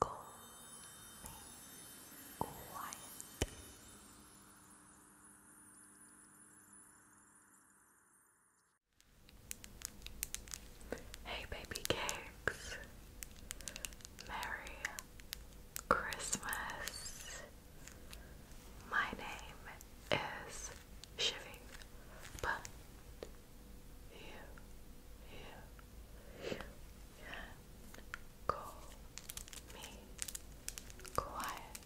Go quiet. Hey, baby cakes. Merry Christmas. My name is Shiving, but you can call me quiet.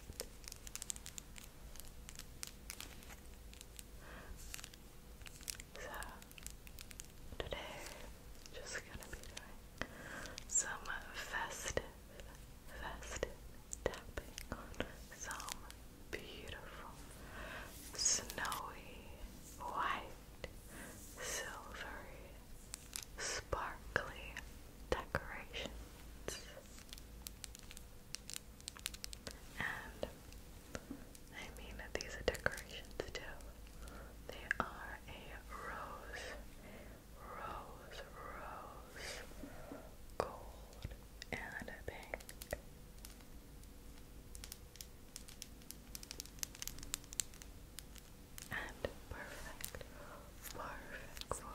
So today just gonna be some festive, festive tapping on some beautiful snowy white silvery, sparkly decorations. And I mean that these are decorations too. They are a rose, rose, rose, gold, and a pink and perfect, perfect for little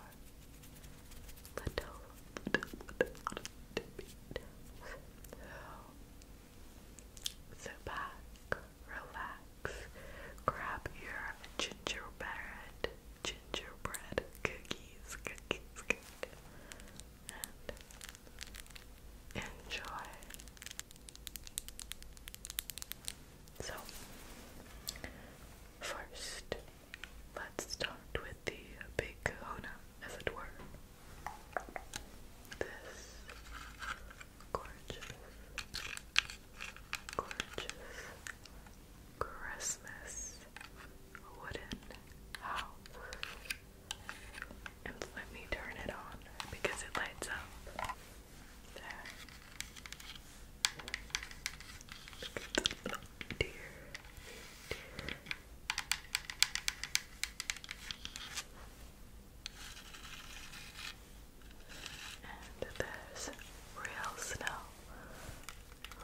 So sit back, relax, grab your gingerbread, gingerbread cookies, cookies, cookies, and enjoy. So, first, let's start with the big kahuna, as it were. This gorgeous, gorgeous Christmas wooden house. And let me turn it on because it lights up. There. Dear. Dear. And there's real snow,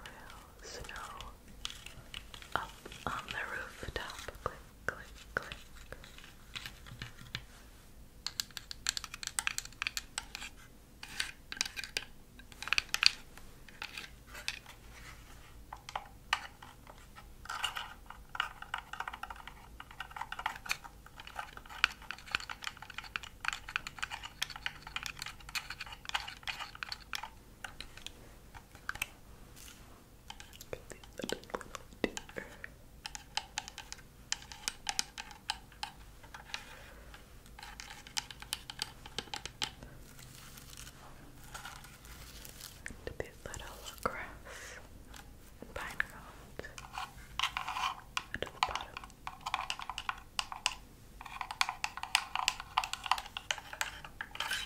real snow up on the rooftop click, click. And these little grass and pine cones at the bottom.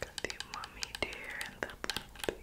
Got the mommy deer and the little Baby.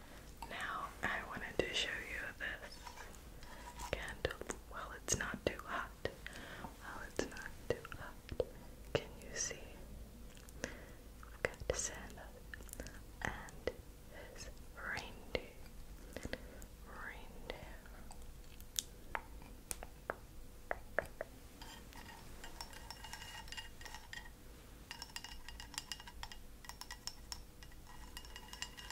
Now I wanted to show you this candle. Well, it's not too hot. Well, it's not too hot. Can you see? Look at Santa and his reindeer. Reindeer.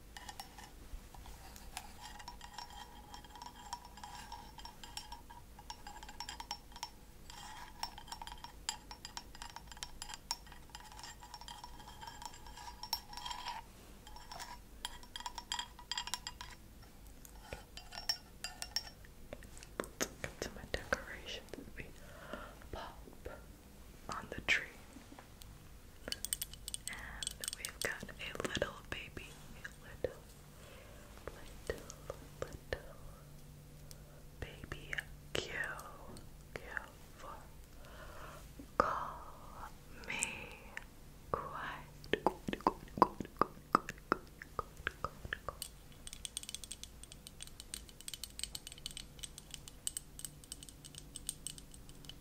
Let's get to my decorations. pop on the tree. And we've got a little baby. A little, little, little baby Q. Q for call me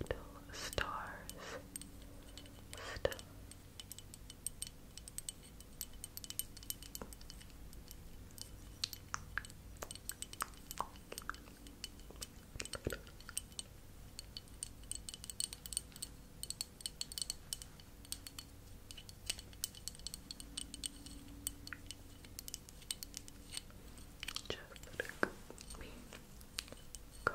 little stars. Star. Just look me go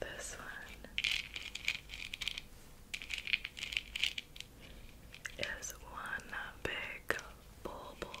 This one is one big bubble.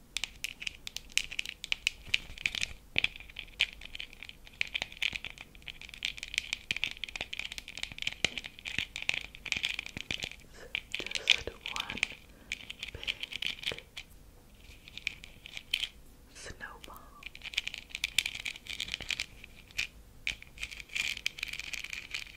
just one big snowball.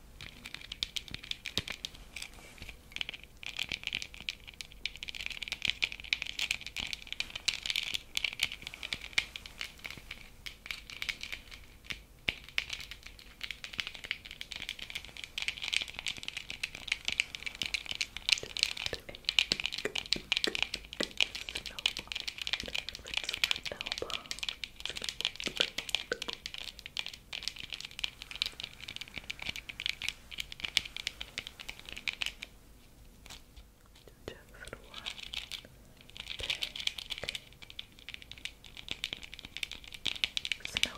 Snowball. Snowball. Snowball. Just one big snowball.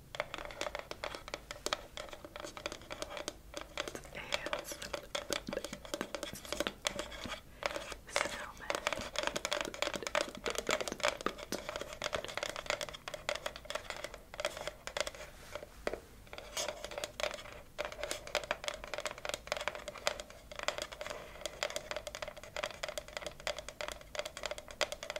Hands. Snowman. Snowman.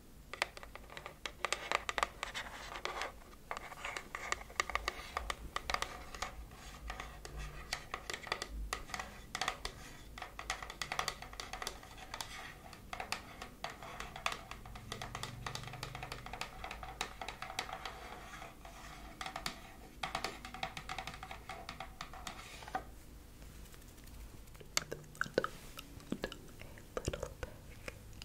A little bit.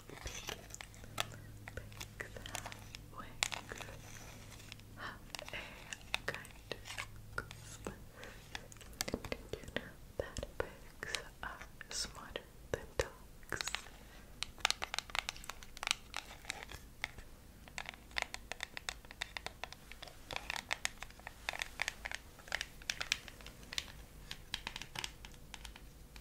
Pick that wig. Have a kind Christmas. Did you know that pigs are smarter than dogs? Thank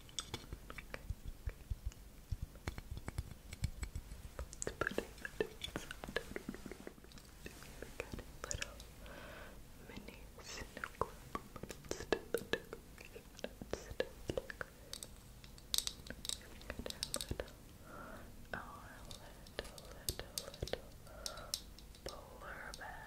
Let's put it inside. Look at a little mini snow globe, it's a decoration. It's a decoration. our little, little, little, little polar bear.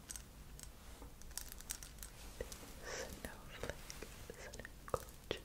Snowflakes and gorgeous, gorgeous,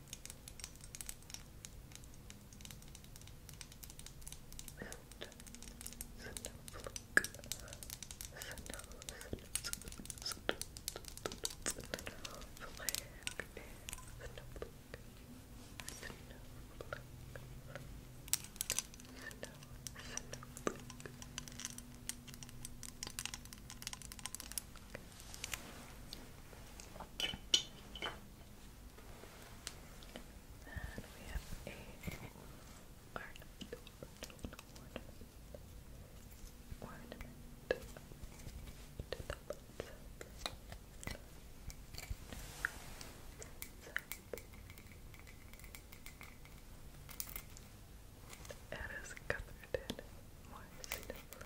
Snowflake, and we have a ornament, ornament, ornament, ornament to the butts. Up. It is covered in moist it's a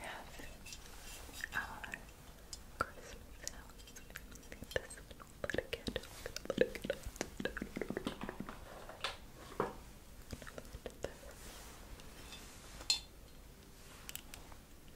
have our Christmas house. This but again, but again. This.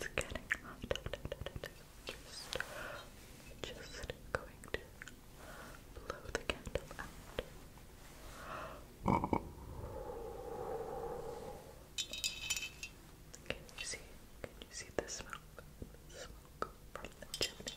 It's getting hot. just, just going to blow the candle out. Can you see? Can you see the smoke? smoke from the chimney.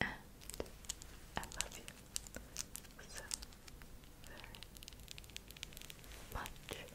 And uh, I love you so very much.